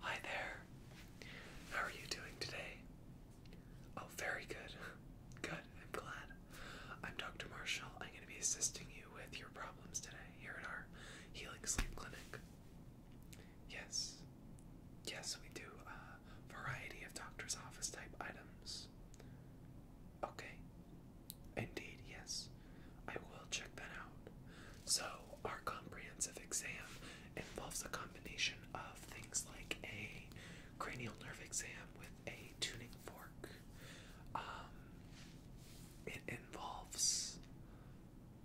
Hi there. How are you doing today? Oh, very good. Good, I'm glad. I'm Dr. Marshall. I'm going to be assisting you with your problems today here at our Healing Sleep Clinic. Yes. Yes, we do a uh, variety of doctor's office type items. Okay. Indeed, yes. I will check that out. So, our comprehensive exam involves a combination of things like a cranial nerve exam with a tuning fork. Um, it involves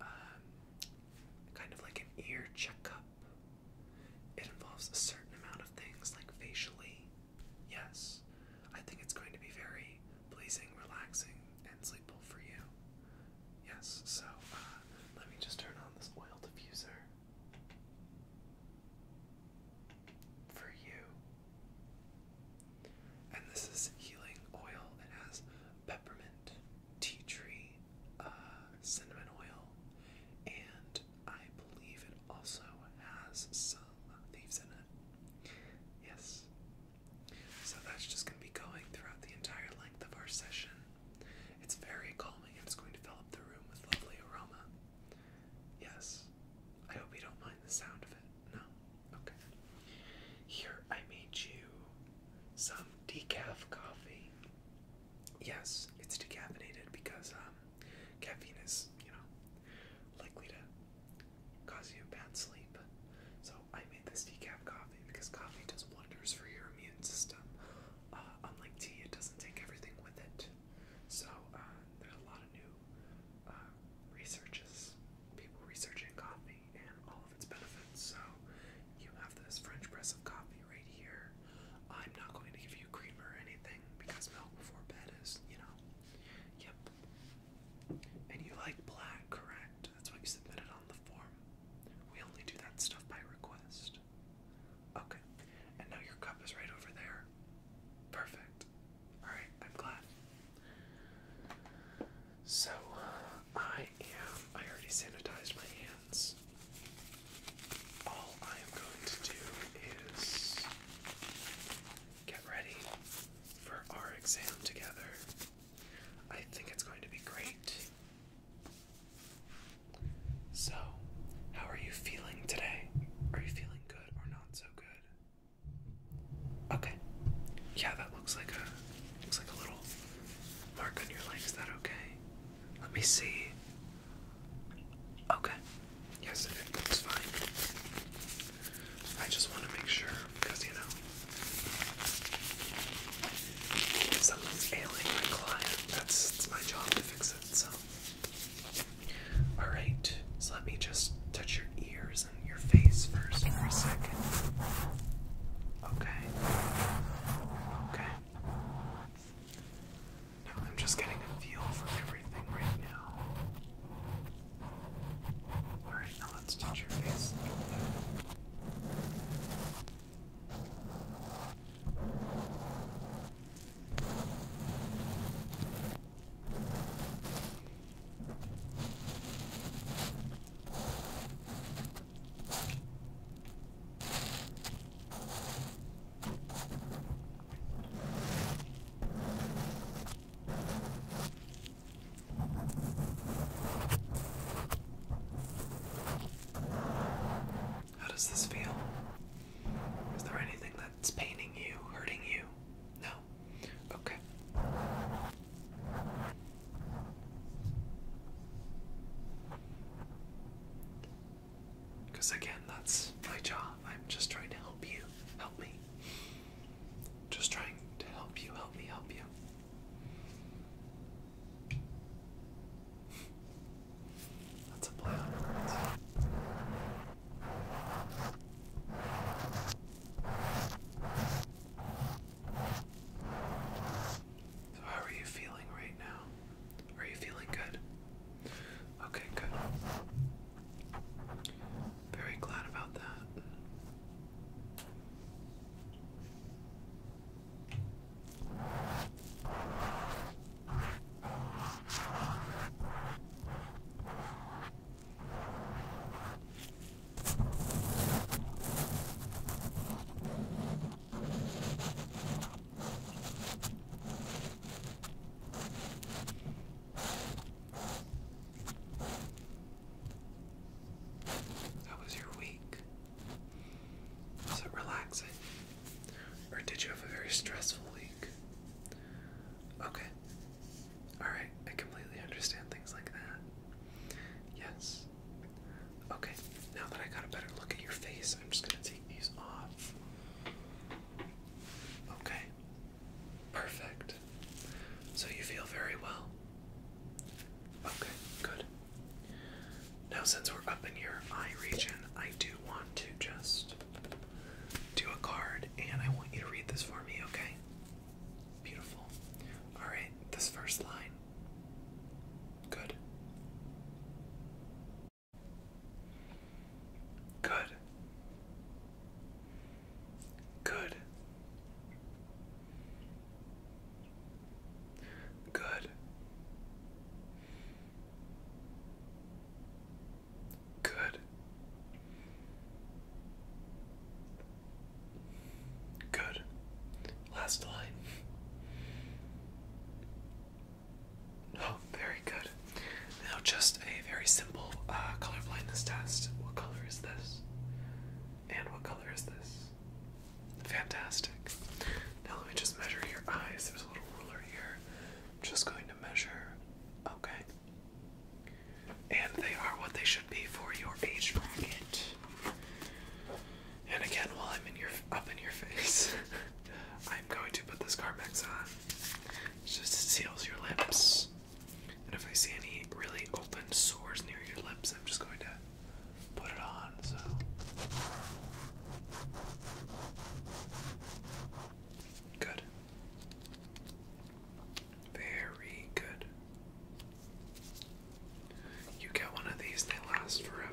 um, kind of like an ear checkup. It involves a certain amount of things, like facially. Yes, I think it's going to be very pleasing, relaxing, and sleepful for you. Yes, so uh, let me just turn on this oil diffuser. For you. And this is healing oil. It has peppermint, tea tree, uh, cinnamon oil, and I believe it also has some thieves in it. Yes. So that's just going to be going throughout the entire length of our session. It's very calming and it's going to fill up the room with lovely aroma. Yes. I hope you don't mind the sound of it. No? Okay. Here I made you some decaf coffee. Yes, it's decaffeinated because um, caffeine is, you know, likely to cause you bad sleep. So I made this decaf coffee because coffee does wonders for your immune system. Uh, unlike tea, it doesn't take everything with it. So uh, there are a lot of new uh, researches, people researching coffee and all of its benefits. So you have this French press of coffee right here. I'm not going to give you creamer or anything because milk before bed is, you know. Yep. And you like black, correct? That's why you submitted on the form. We only do that stuff by request. Okay. And now your cup is right over there. Perfect. Alright, I'm glad. So, I am. I already sanitized my hands. All I am going to do is get ready for our exam together. I think it's going to be great. So, how are you feeling today? Are you feeling good or not so good? Okay. Yeah, that looks like a looks like a little mark on your legs. Is that okay? Let me see. Okay. Yes, it looks fine. I just want to make sure because you know, if something's ailing my client, that's my job to fix it. So, all right. So let me just touch your ears and your face first for a second. Okay. Okay. I'm just getting a feel for everything right now. Alright, now let's touch your face how does this feel? Is there anything that's paining you, hurting you? No? Okay. Because again, that's my job. I'm just trying to help you. Help me. Just trying to help you, help me, help you. That's a play So, how are you feeling right now? Are you feeling good? Okay, good. Very glad about that. That was your week? Was it relaxing? Or did you have a very stressful week? Okay. Alright, I completely understand things like that. Yes. Okay, now that I got a better look at your face, I'm just gonna take take off. Okay. Perfect. So you feel very well. Okay, good. Now, since we're up in your eye region, I do want to just do a card and I want you to read this for me, okay? Beautiful. Alright, this first line. Good. Good. Good. Good. Good. Good. Last line. Oh, very good. Now, just a very simple uh, color blindness test. What color is this? And what color is this? Fantastic. Now, let me just measure your eyes. There's a little ruler here. just going to measure. Okay. And they are what they should be for your age bracket. And again, while I'm in your up in your face. I'm going to put this Carmex on. It Just seals your lips. And if I see any really open sores near your lips, I'm just going to put it on. So. Good. Very good. You get one of these, they last forever.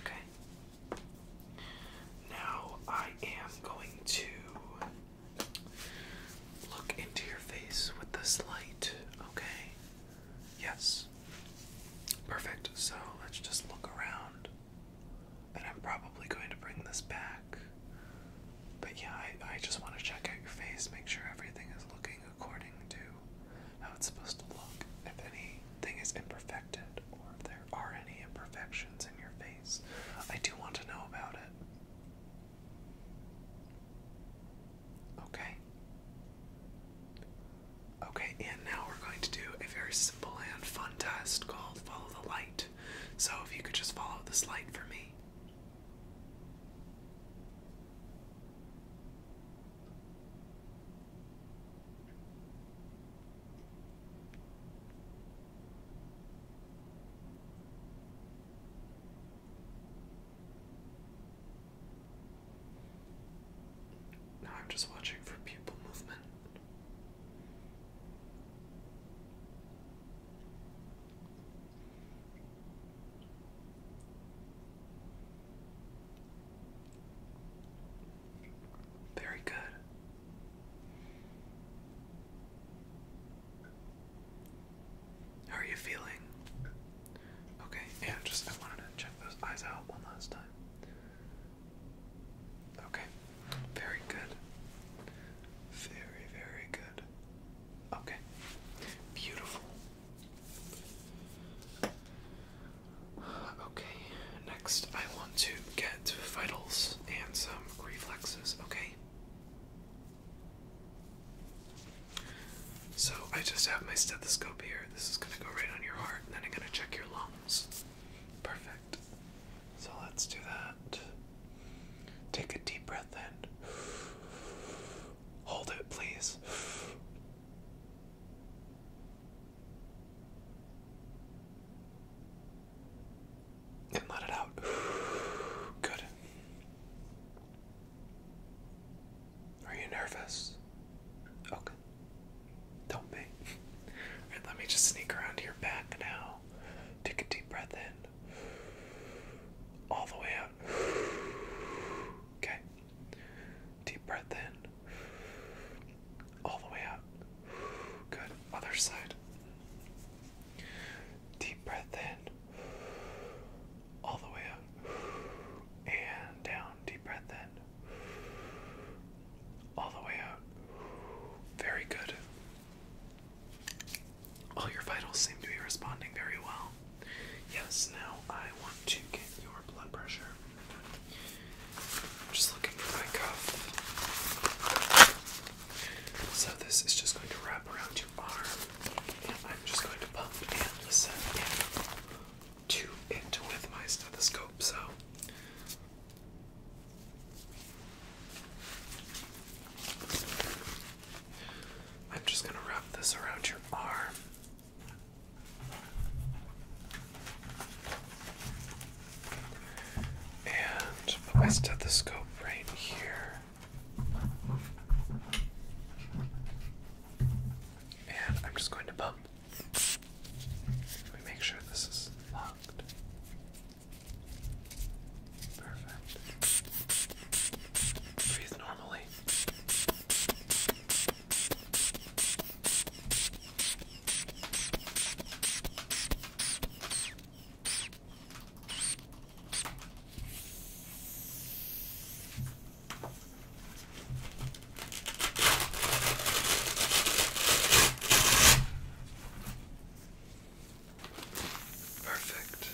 Okay. Now I am going to look into your face with this light, okay? Yes. Perfect. So let's just look around. And I'm probably going to bring this back. But yeah, I, I just want to check out your face, make sure everything is looking according to how it's supposed to look. If anything is imperfected or if there are any imperfections in your face, I do want to know about it. Okay. Okay, and now we're going to do a very simple and fun test called Follow the Light. So if you could just follow this light for me. Now I'm just watching for pupil movement. Very good. How are you feeling? Okay, yeah, just I wanted to check those eyes out one last time. Okay, very good. Very, very good. Okay, beautiful. Okay, next I want to get vitals and some reflexes, okay? So I just have my stethoscope here. This is gonna go right on your heart, and then I'm gonna check your lungs. Perfect. So let's do that. Take a deep breath in. Hold it, please. And let it out. Good. Are you nervous? Okay. Don't be. let me just sneak around to your back now. Take a deep breath in. All the way out. Okay, Deep breath in. All the way out. Good. Other side. Deep breath in. All the way out, And down. Deep breath in. All the way out. Very good. All your vitals seem to be responding very well. Yes, now I want to get your blood pressure. Just looking for my cuff. So this is just going to wrap around your arm, and I'm just going to pump and listen to it with my stethoscope. So. I'm just going to wrap this around your arm and put my stethoscope right here. And I'm just going to bump. Let me make sure this is locked. Perfect. Breathe normally. Perfect.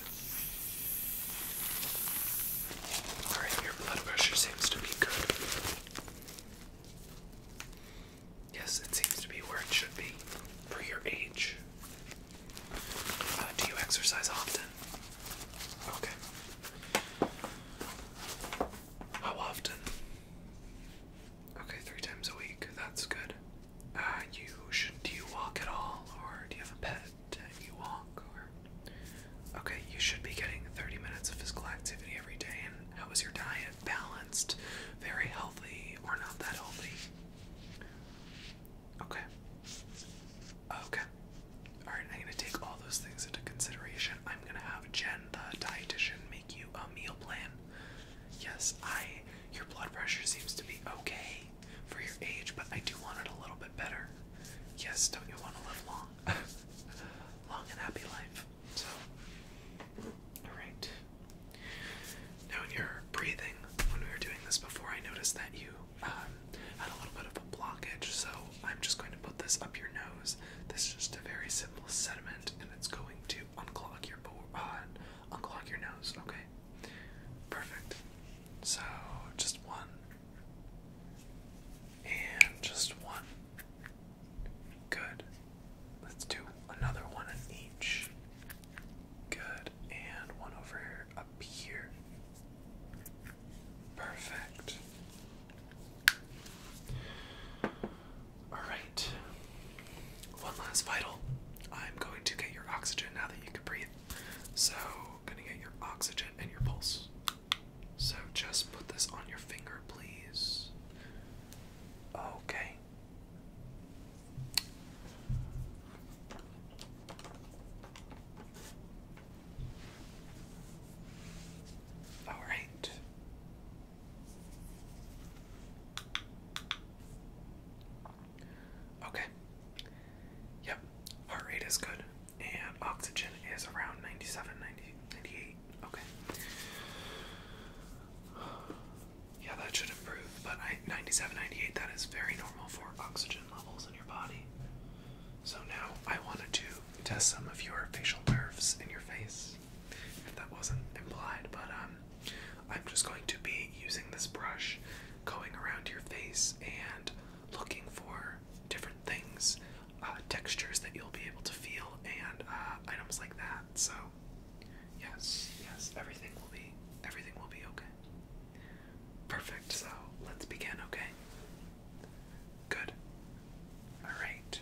Alright, your blood pressure seems to be good. Yes, it seems to be where it should be for your age. Uh, do you exercise often? Okay. How often? Okay, three times a week. That's good. Uh, you should. Do you walk at all, or do you have a pet and you walk? okay, you should be getting 30 minutes of physical activity every day. And how is your diet? balanced, very healthy, or not that healthy. Okay. Okay. Alright, I'm gonna take all those things into consideration. I'm gonna have Jen, the dietitian, make you a meal plan. Yes, I your blood pressure seems to be okay for your age, but I do want it a little bit better. Yes, don't you want to live long? long and happy life. So, all right. Now, in your breathing, when we were doing this before, I noticed that you um, had a little bit of a blockage. So, I'm just going to put this up your nose. This is just a very simple sediment, and it's going to unclog your uh, unclog your nose. Okay, perfect. So, just one, and just one. Good. Let's do another one in each. Good. And one over up here. Perfect. Alright. One last vital. I'm going to get your oxygen now that you can breathe. So, gonna get your oxygen and your pulse. So, just put this on your finger, please. Okay. All right. Okay. Yep. Heart rate is good and oxygen is around 97, Okay. Yeah, that should improve. But I, 97, that is very normal for oxygen levels in your body. So now I wanted to test some of your facial nerves in your face, if that wasn't implied. But um, I'm just going to be using this brush, going around your face and looking for different things, uh, textures that you'll be able to feel, and uh, items like that. So yes, yes, everything will be everything will be okay. Perfect. So let's begin, okay? Good. All right.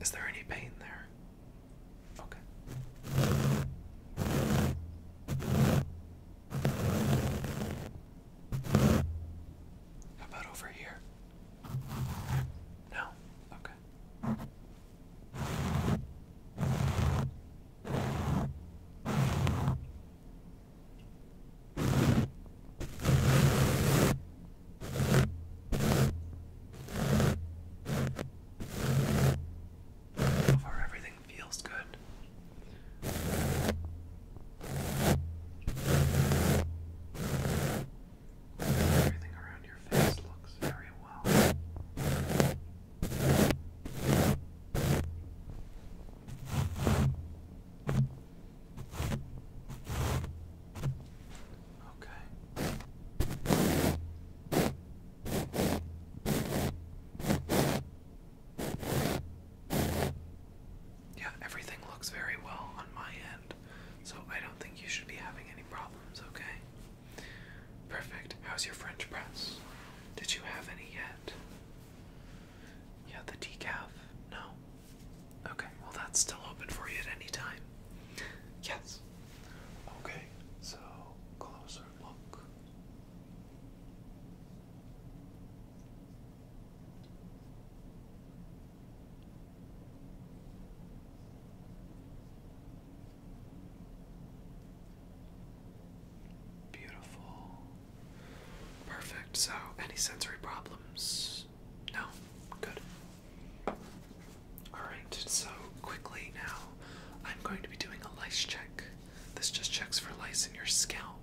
Is there any pain there? Okay. How about over here? No? Okay. So far, everything feels good. Everything around your face looks very well. Okay. Yeah, everything looks very well on my end, so I don't think you should be having any problems, okay? Perfect. How's your French press? Did you have any yet? Yeah, the decaf. No. Okay, well, that's still open for you at any time. Yes. Okay, so closer look. Beautiful. Perfect. So, any sensory problems? No? Good. Alright, so quickly now, I'm going to be doing a lice check. This just checks for lice in your scalp.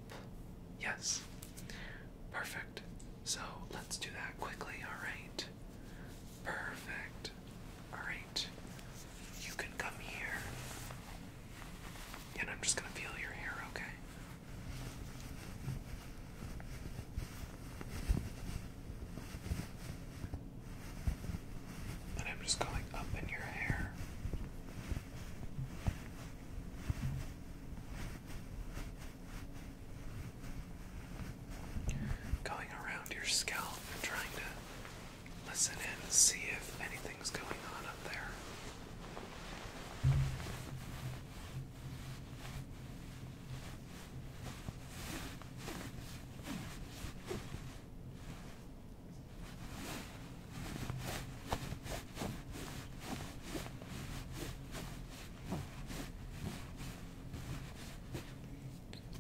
Yes. Perfect. So, let's do that quickly, alright? Perfect. Alright. You can come here. And I'm just going to feel your hair, okay? And I'm just going up in your hair. Going around your scalp trying to listen in and see if anything's going on up there.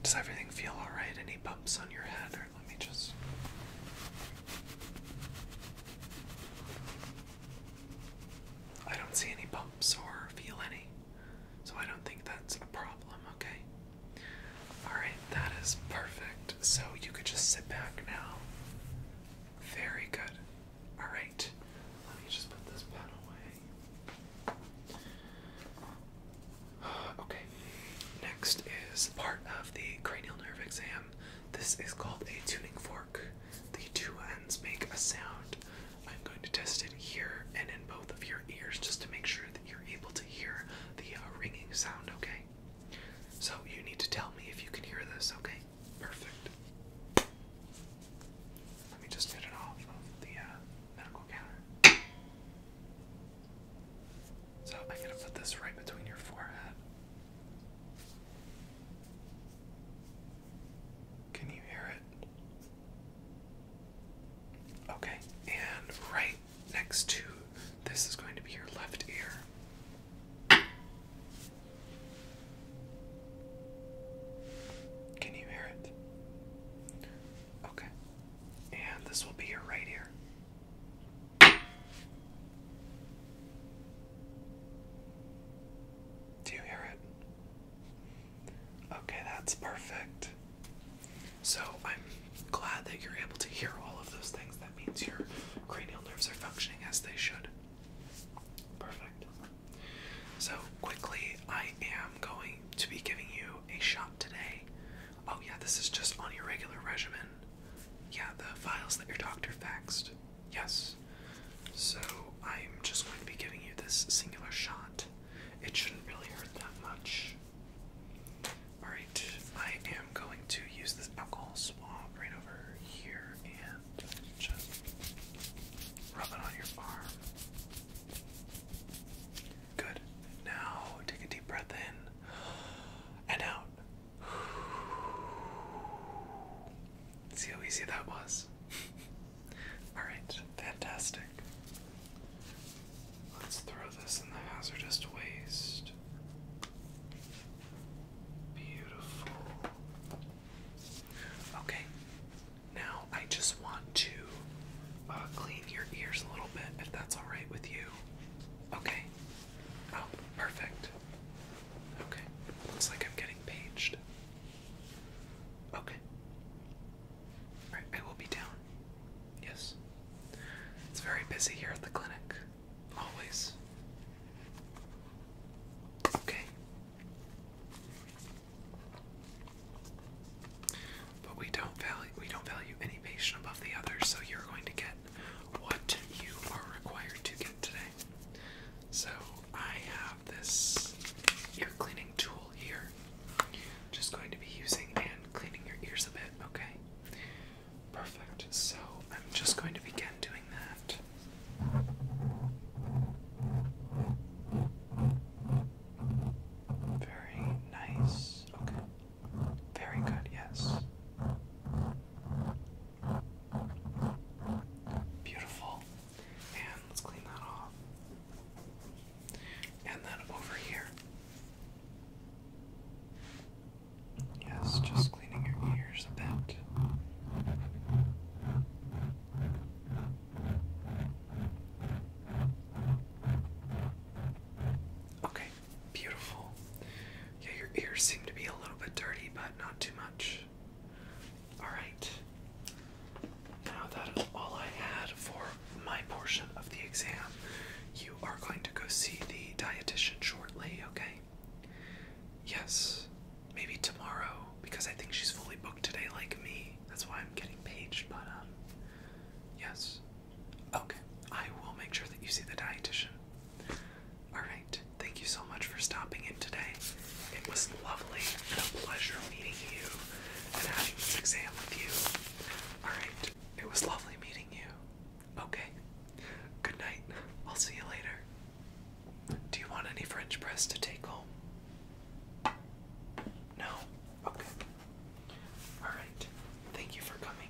Does everything feel alright? Any bumps on your head? Or let me just. I don't see any bumps or feel any, so I don't think that's a problem, okay? Alright, that is perfect. So you could just sit back now. Very good. Alright, let me just put this pen away. Okay, next is part of the cranial nerve exam. This is called a tuning fork the two ends make a sound. I'm going to test it here and in both of your ears just to make sure that you're able to hear the uh, ringing sound, okay? So you need to tell me if you can hear this, okay? Perfect. Let me just get it off of the uh, medical counter. So I'm going to put this right between your forehead. Can you hear it? Okay, and right next to this is going to be your left ear. Can you hear it? Okay, and this will be your right ear. Do you hear it? Okay, that's perfect. So I'm glad that you're able to hear all of those things. That means your cranial nerves are functioning as they should. Perfect. So, quickly, I am going to be giving you a shot today. Oh, yeah, this is just on your regular regimen. Yeah, the files that your doctor faxed. Yes. So I'm just going to be giving you this singular shot. It shouldn't really hurt that much. Alright, I am going to use this alcohol swab right over here and just rub it on your arm. Good. Now take a deep breath in and out. See how easy that was? Alright, fantastic. Let's throw this in the hazardous waste. Beautiful. Okay, now I just want to uh, clean your ears a little bit if that's alright with you. Okay. Oh, perfect. Okay. Looks like I'm getting paged. Okay. Alright, I will be down. Yes. It's very busy here at the clinic. Always. Okay. But we don't value we don't value any patient above the other, so you're going to get what you are required to get today. So I have this ear cleaning tool here. Just going to be using and cleaning your ears a bit, okay? Perfect. So I'm just going to begin doing that. Very nice. Okay. Very good, yes. Beautiful. And let's clean that off. And then over here. Yes, just cleaning your ears a bit. Okay, beautiful. Yeah, your ears seem to be a little bit dirty, but not too much. Alright. Now that is all I had for my portion of the exam. You are going to go see the dietitian shortly, okay? Yes. Maybe tomorrow, because I think she's fully booked today, like me. That's why I'm getting paged, but, um, yes. Okay, I will make sure that you see the dietitian. Alright, thank you so much for stopping in today. It was lovely and a pleasure meeting you and having this exam with you. Alright, it was lovely meeting you. Okay, good night. I'll see you later. Do you want any French press to take home? No? Okay. Alright, thank you for coming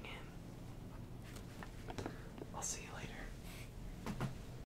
in. I'll see you later.